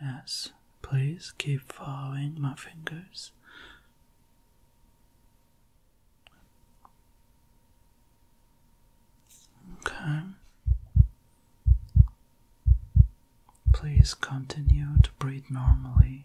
Yes, please keep following my fingers. Okay. Please continue to breathe normally.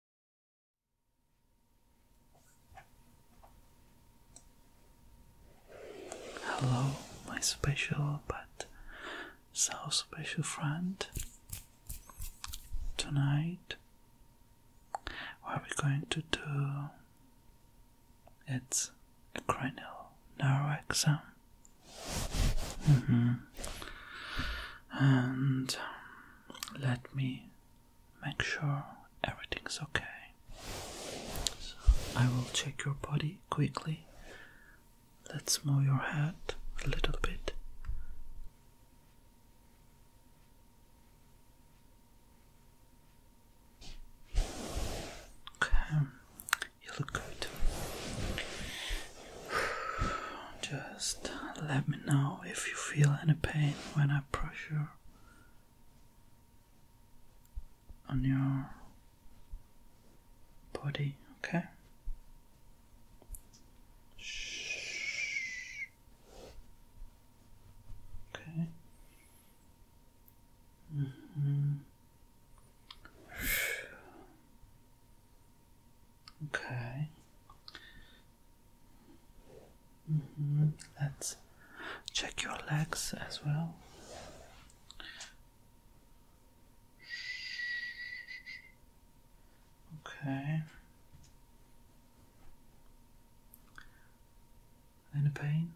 Hello, my special but so special friend. Tonight, what we're going to do it's a cranial nerve exam. -hmm. And let me make sure everything's okay. So I will check your body quickly. Let's move your head a little bit. Okay, you look good. just let me know if you feel any pain when I pressure on your body, okay? Okay. Mm-hmm. Okay. Mm-hmm. Let's check your legs as well. Okay. Any pain?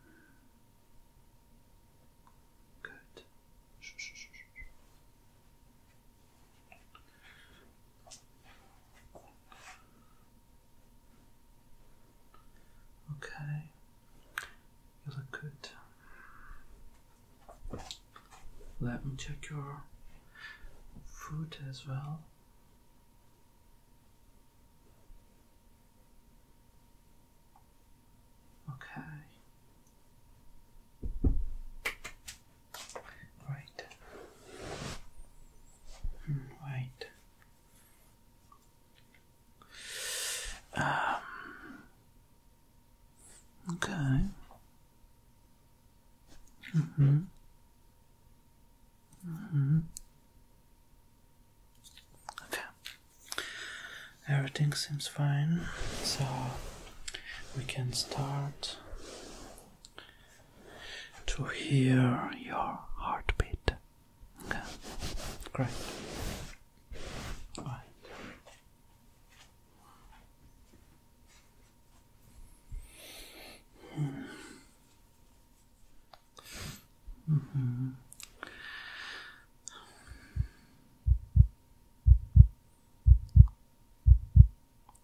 Good. Okay, you look good. Let me check your foot as well. Okay right, hmm, right. Um, okay. Mm-hmm. Mm-hmm. Okay. Everything seems fine, so we can start to hear your heartbeat. Great. All right. Hmm. Hmm.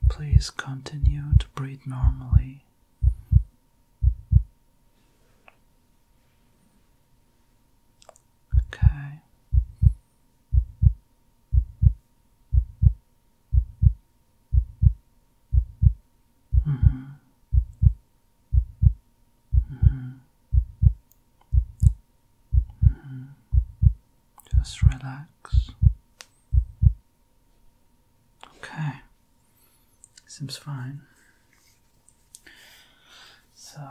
Please continue to breathe normally Okay. Okay. Mm -hmm. Mm -hmm. Mm mm-hmm. mm-hmm. Just relax. Okay. Seems fine. So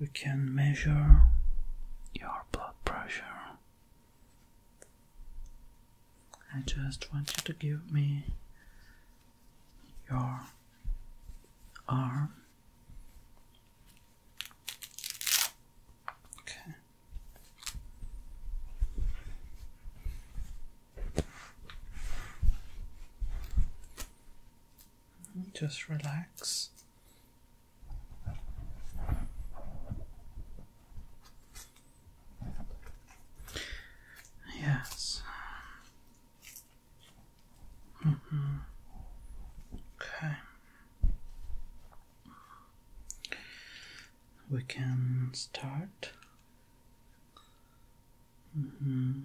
we can measure your blood pressure. I just want you to give me your arm. Okay. Just relax. Yes. Mm -hmm. Okay we can start. Mm -hmm.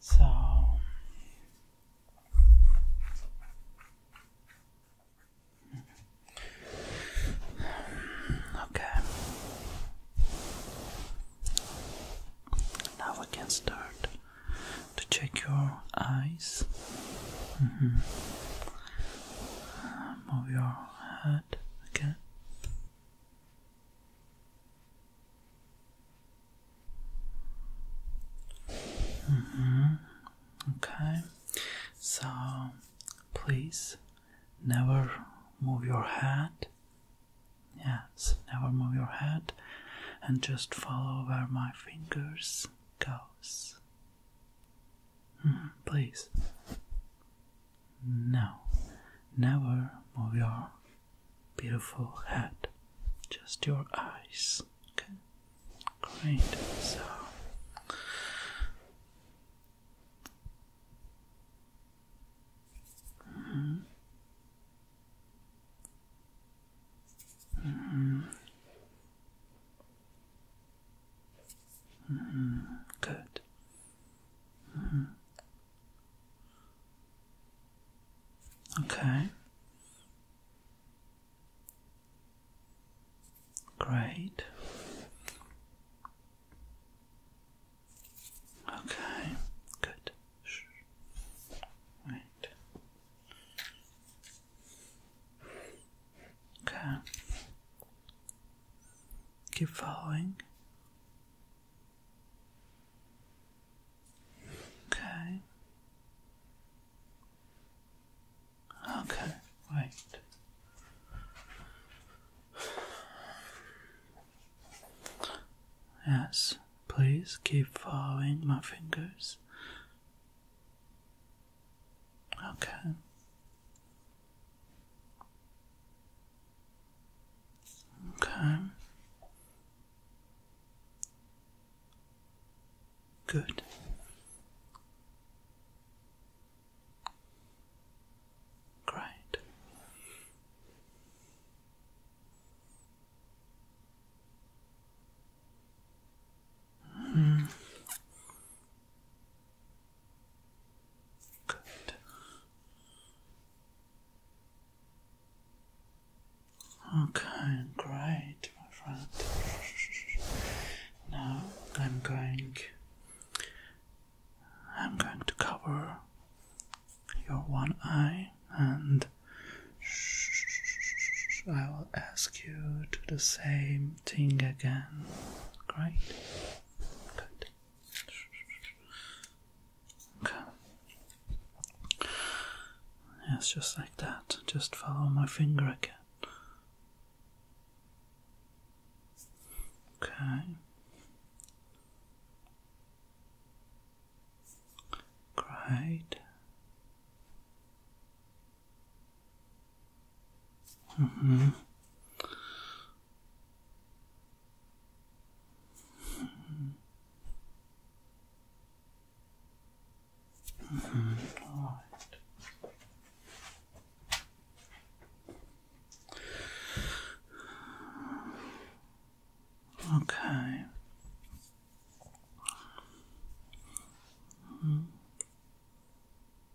So okay. Now we can start to check your eyes. Mm-hmm move your head again. Mm-hmm, okay, so please never move your head. Yes, never move your head and just follow where my fingers goes. Hmm, please. No, never move your beautiful head, just your eyes. Okay, great. So, -hmm. -hmm. Mm-hmm. Good. Mm-hmm. Okay. Great. Okay. Good. Right. Okay. Keep following. Okay. Okay, wait. Yes, please keep following my fingers. Okay. Okay. Good. Great. Mm. Good. Okay, great, my friend. Now I'm going I'm going to cover your one eye and I will ask you to the same thing again. Great. Good. Okay. Yes, just like that. Just follow my finger again. Okay. Great. Mm -hmm. Mm -hmm. All right. Okay. Mm -hmm.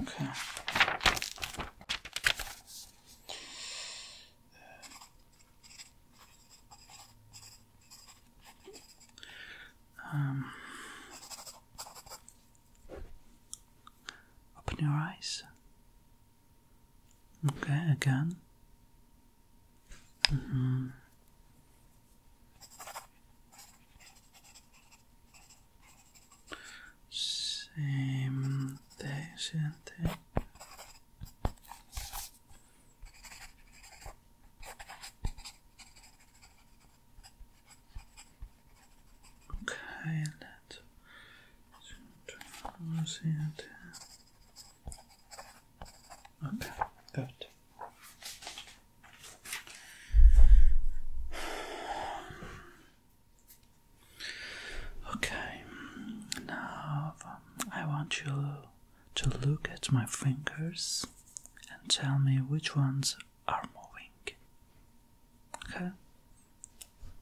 Okay. Um, open your eyes. Okay, again. Mm-hmm. Same day, Okay, let's see it. Okay, good. Okay, now I want you to look at my fingers and tell me which ones are moving. Okay?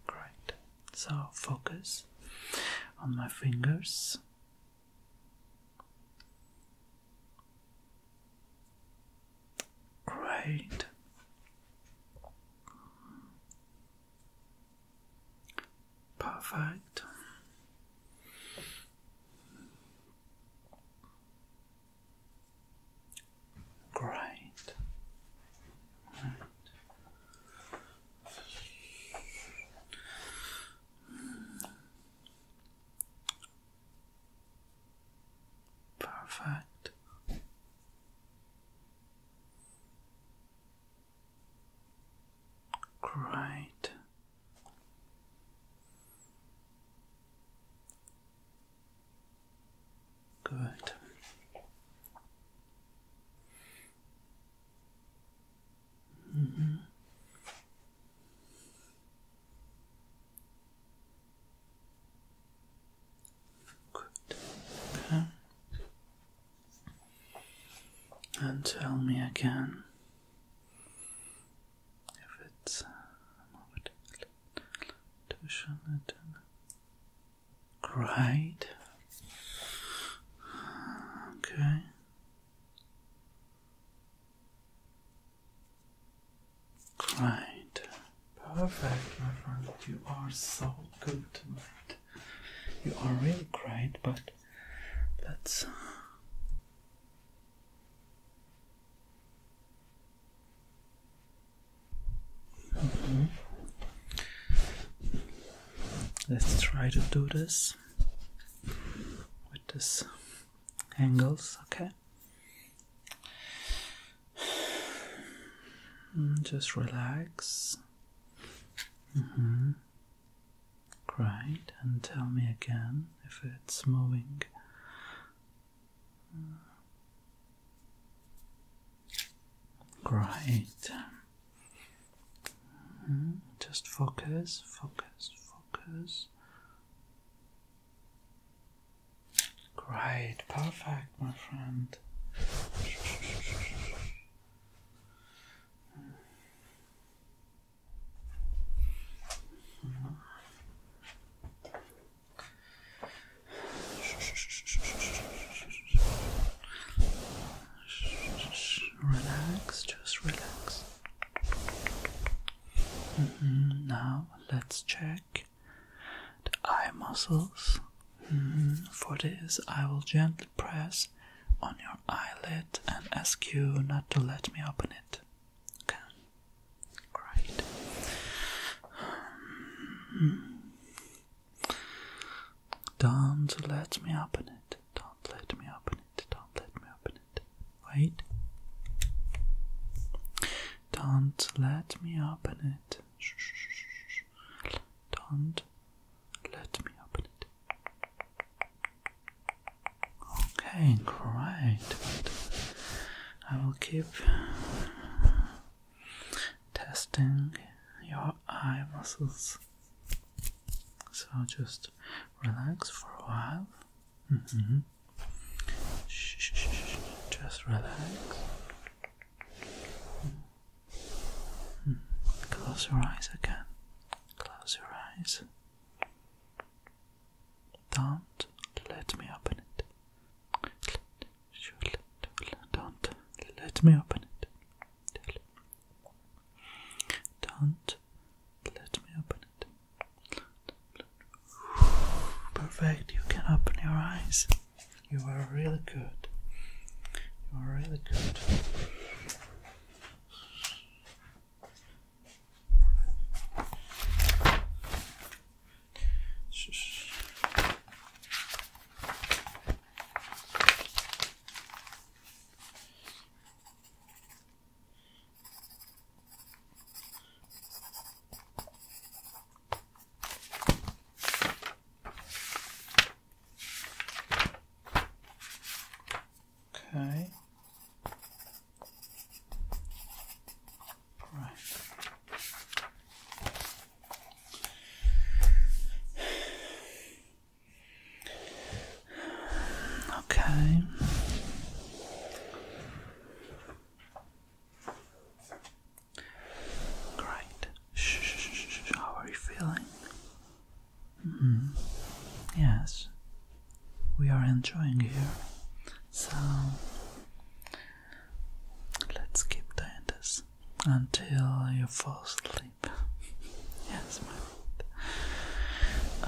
Great. So focus on my fingers Great. Perfect. Great. Perfect. Great. Good. Mm -hmm. Good. Okay. And tell me again if it's Great. Uh, okay. Right. Perfect, my friend. You are so good tonight. You are really great, but let's. Uh, mm-hmm. Let's try to do this with this angles, okay? Mm, just relax. Mm-hmm. Great, and tell me again if it's moving. Great. Mm-hmm. Just focus, focus, focus. Great, perfect, my friend. Relax, just relax. Mm-hmm. Now let's check the eye muscles. Mm-hmm. For this, I will gently press on your eyelid and ask you not to let me open it. Okay, great. Mm-hmm. Don't let me open it. Don't let me open it. Don't let me open Wait. Don't let me open it. Don't let me open it. Okay, great. I will keep testing your eye muscles. So just relax for a while. Mm-hmm. Shh, shh, shh, Just relax. Hmm. Close your eyes again. Close your eyes. Don't let me open it. Don't let me open it. Don't let me open it. Perfect, you can open your eyes. You are really good. You are really good. Okay. Right. Okay. Great. How are you feeling? Mm-hmm. Yes, we are enjoying here. So let's keep doing this until you fall asleep. yes, my.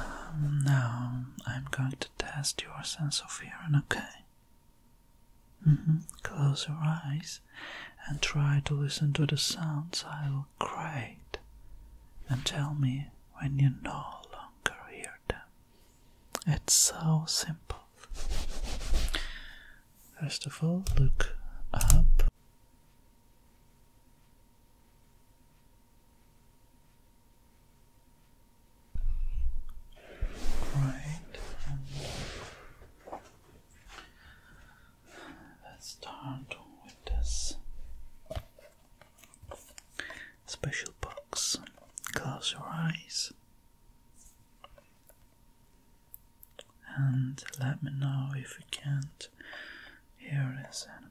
Um, now I'm going test your sense of hearing, okay? Mm-hmm. Close your eyes and try to listen to the sounds I will create and tell me when you no longer hear them. It's so simple. First of all, look up. Right, let's start with this special box. Close your eyes and let me know if you can't hear this animal.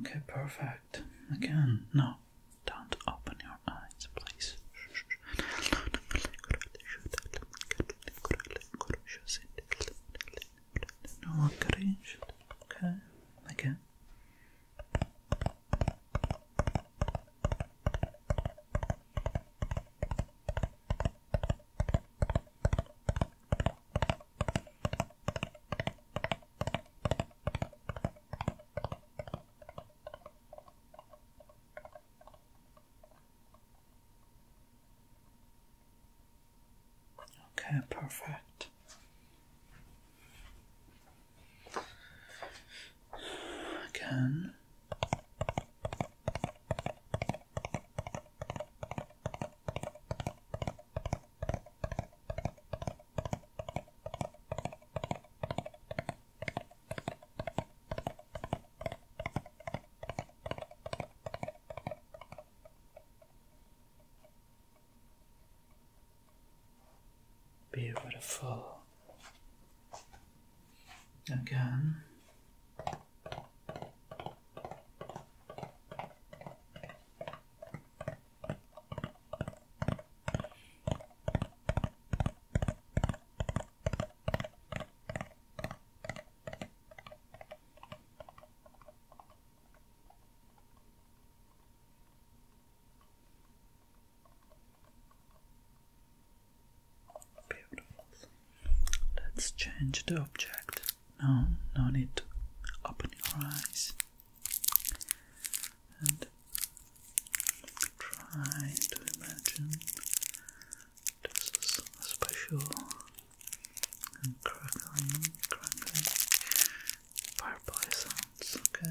Okay, perfect. Again, no, don't open your eyes, please. Okay, again. Okay, perfect. Again. Beautiful. Again. Beautiful. Let's change the object. No, no need to open your eyes and try to imagine just a special and crackling, crackling fireplace sounds, Okay.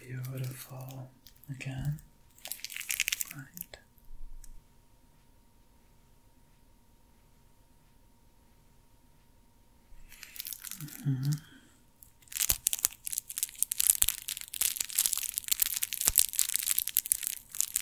Beautiful again, right? Mm -hmm.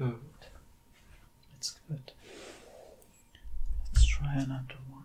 Good. That's good. Let's try another one.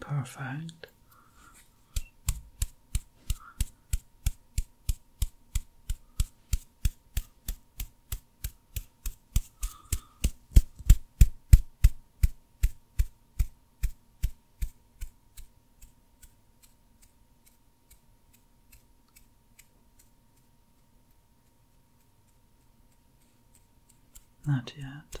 Perfect. Not yet.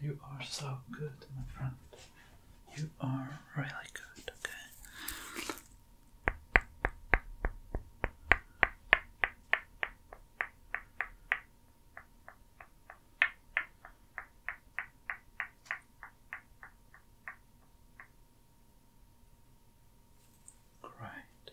Good. You are so good, my friend. You are really good, okay? Great.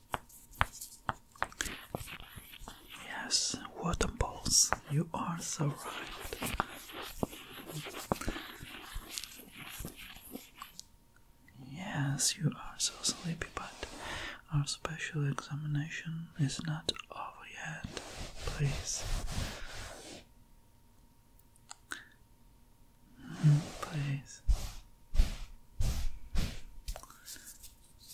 Yes, water balls. You are so right. Yes, you are so sleepy, but our special examination is not over yet. Please. Hmm, please.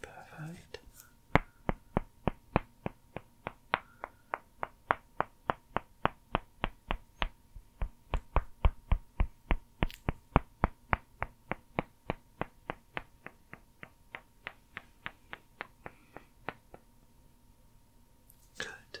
Perfect. Good.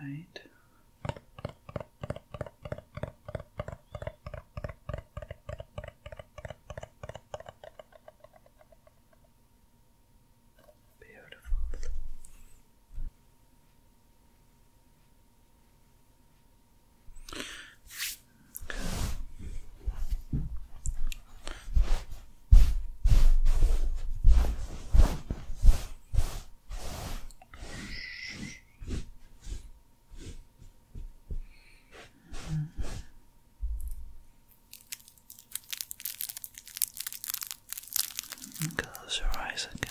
Great. Beautiful. Close your eyes again.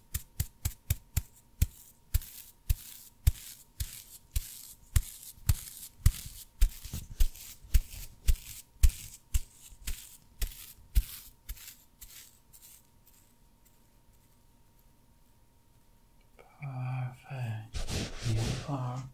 Perfect. You are perfect.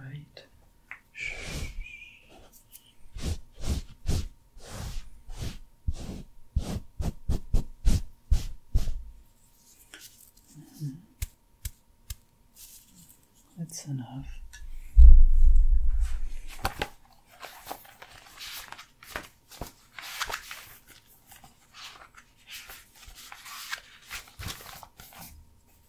Right. Mm-hmm. That's enough.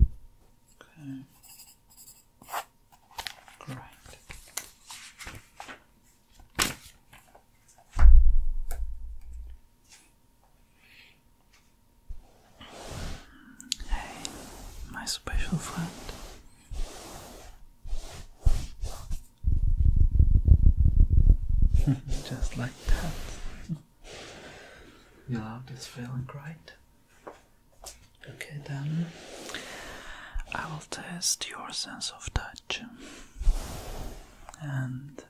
Okay. Hey, my special friend. Just like that. You love this feeling, right? Okay, then I will test your sense of touch. And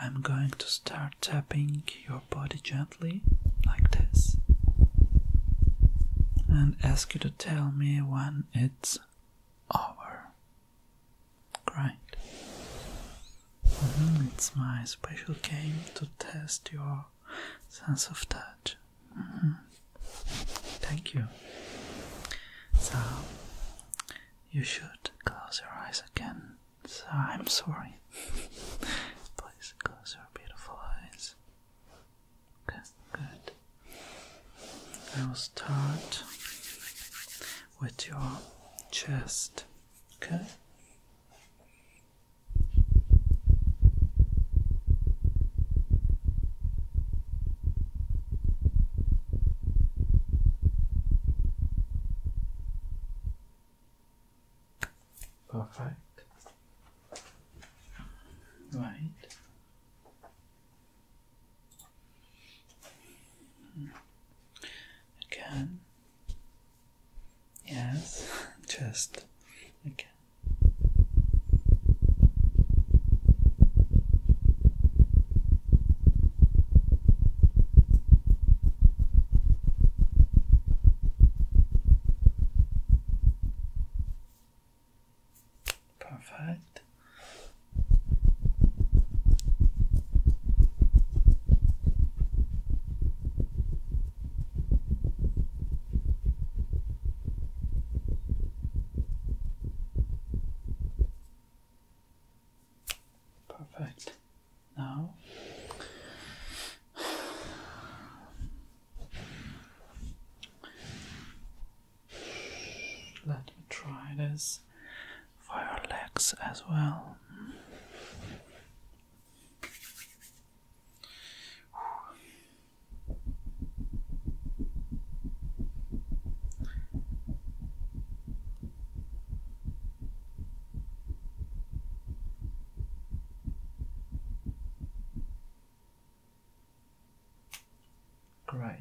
I'm going to start tapping your body gently, like this, and ask you to tell me when it's over. Right. Mm-hmm, it's my special game to test your sense of touch. Mm-hmm. Thank you. So, you should close your eyes again. So, I'm sorry. Please close your beautiful eyes. Okay, good. I will start with your chest. Okay? Perfect. Right. Again, Yes, just okay. Perfect. Perfect. Now let me try this for your legs as well. Great.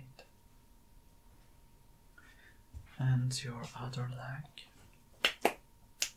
And your other leg.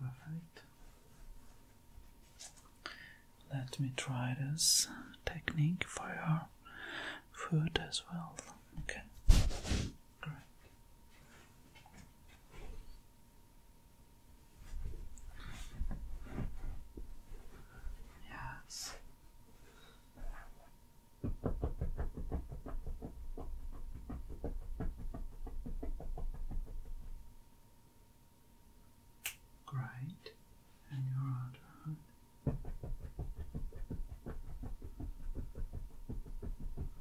Perfect. Let me try this technique for your food as well. Okay, great. Yes. Great, and you're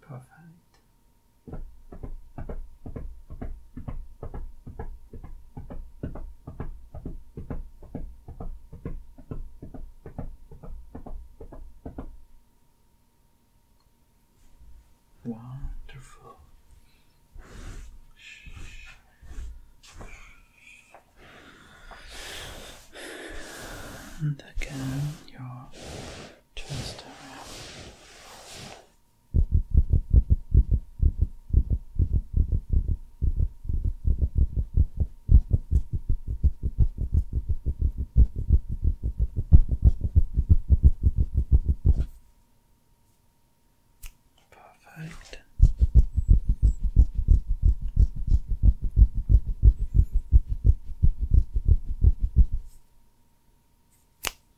Perfect. Wonderful. And again, your twist around. Perfect.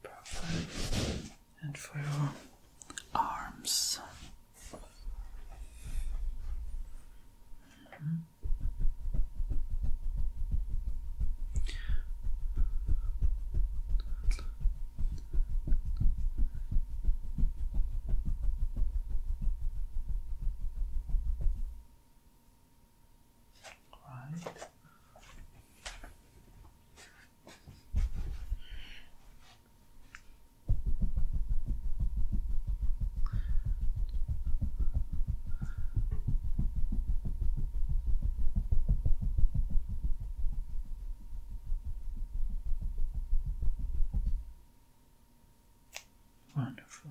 Perfect. And for your arms. Right. Wonderful.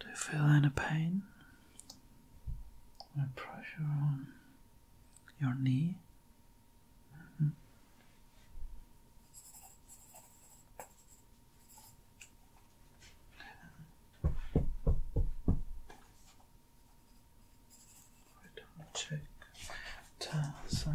Do you feel any pain or pressure on your knee? Mm -hmm. Wait, check. Tasa.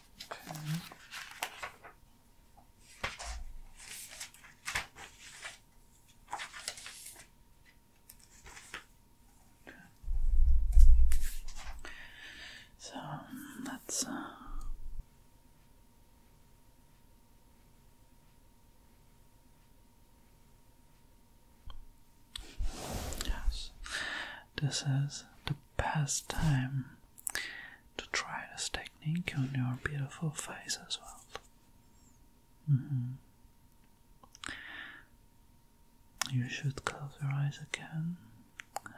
Okay. So let's uh Yes, this is the best time to try this technique on your beautiful face as well. Mm-hmm. You should close your eyes again,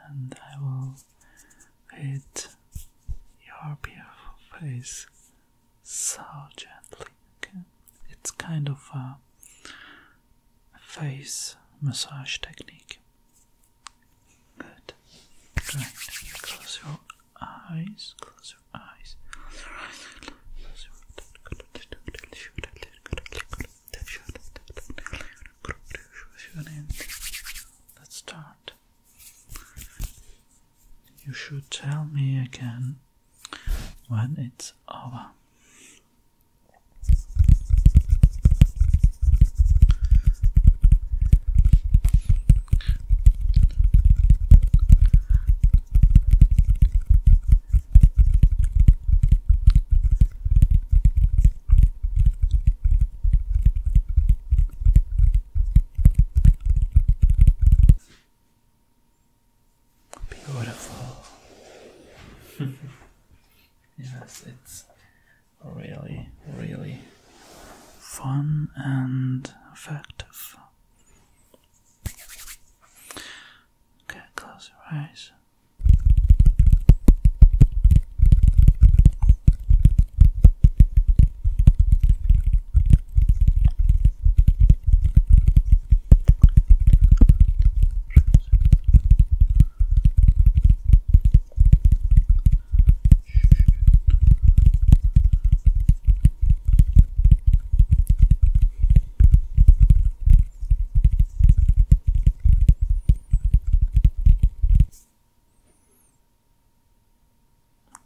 and I will hit your beautiful face so gently. it's kind of a face massage technique. Good. Close your eyes. Close your eyes. Let's start. You should tell me again when it's over. Beautiful. yes, it's really, really fun and effective. Okay, close your eyes.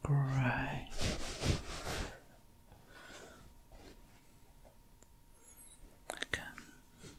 Great. Okay.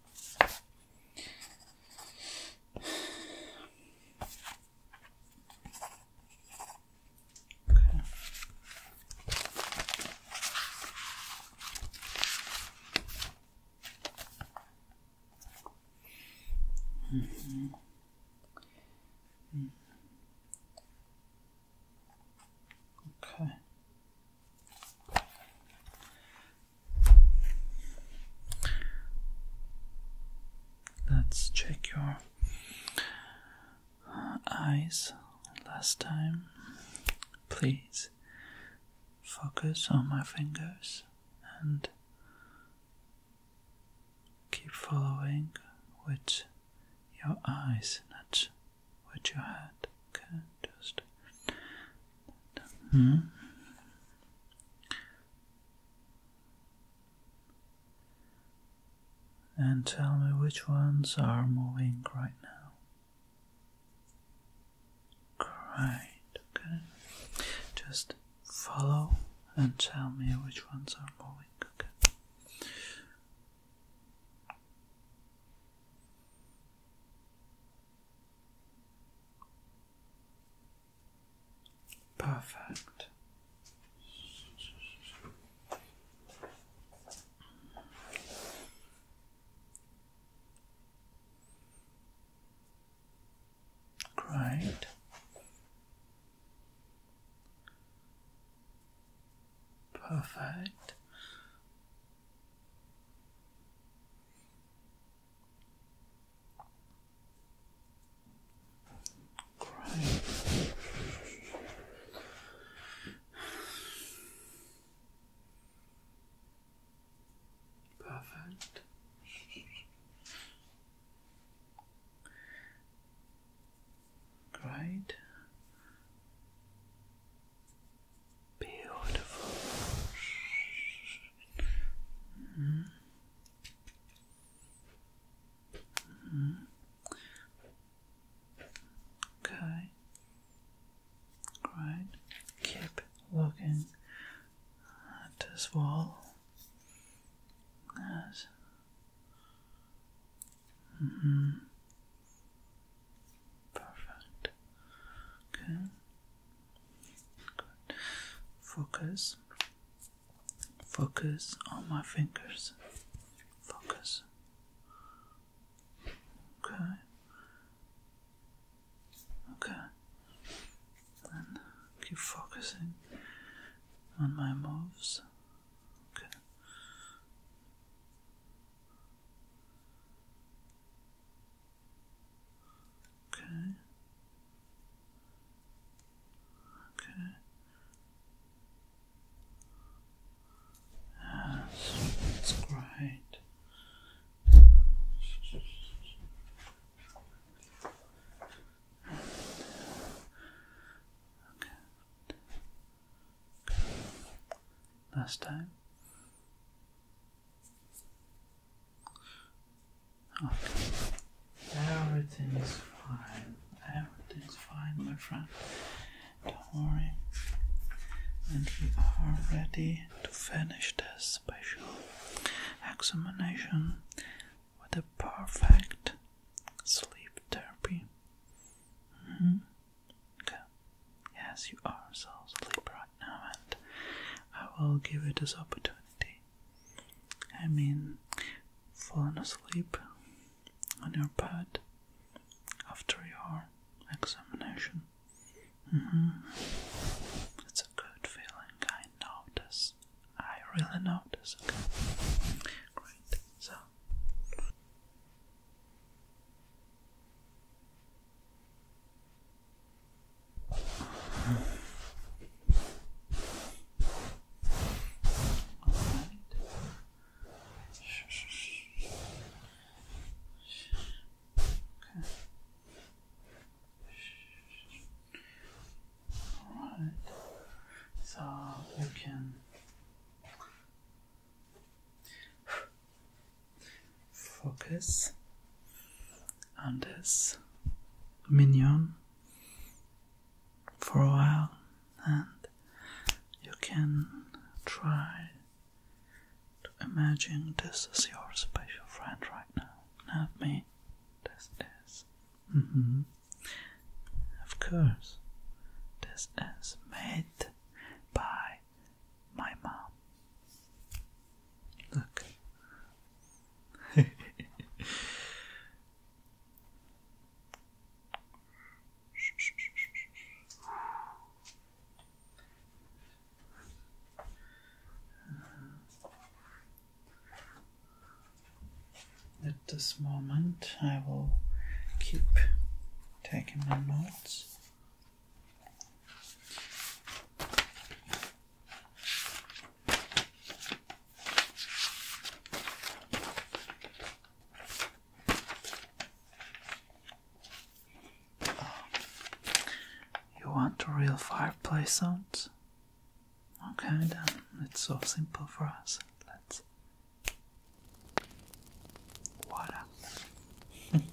Okay. Mm -hmm. Okay. Let's check your eyes last time. Please focus on my fingers and keep following with your eyes, not with your head. Okay, just. Mm. And tell me which ones are moving right now. Great, okay. Just follow and tell me which ones are moving, okay. Perfect. Great. Perfect. Great. Perfect. Great. Beautiful. Mm -hmm. Okay. Great. Keep looking at this wall. Yes. -hmm. Perfect. Okay. Focus. Focus on my fingers. Focus. Okay. Okay. And keep focusing on my moves. Okay. Okay. Okay. Yes, that's great. Okay. Last time. Oh. Everything is fine. Everything is fine, my friend. Don't worry. And we are ready to finish this special examination with a perfect sleep therapy. Mm Yes, you are so sleepy right now, and I will give it this opportunity I mean, falling asleep on your bed after your examination. Mm a good feeling, I notice. I really notice, okay? so. Alright, so you can focus and this minion for a while, and you can try to imagine this is your special friend right now, not me. This is. Mm -hmm. Of course, this is made by my mom. Look, At this moment, I will keep taking my notes. You want a real fireplace sound? Okay, then it's so simple for us. Let's. Voila.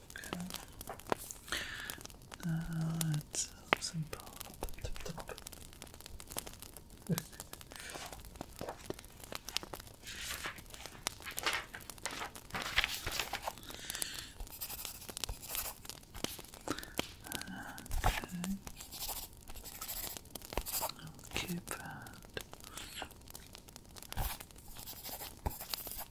Okay. Uh, it's simple. okay. i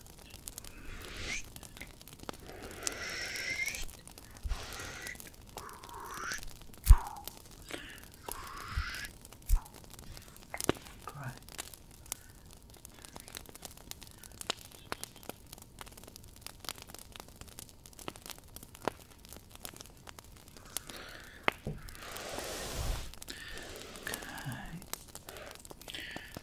Great. Okay.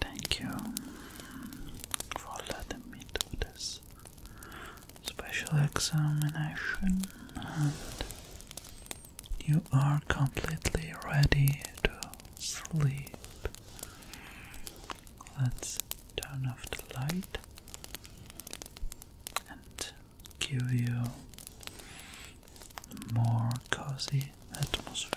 Thank you for letting me do this special examination, and you are completely ready to sleep. Let's turn off the light and give you more cozy atmosphere.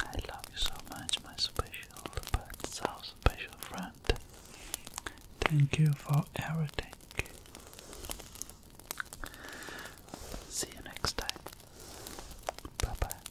I love you so much, my special but so special friend. Thank you for everything. See you next time. Bye bye.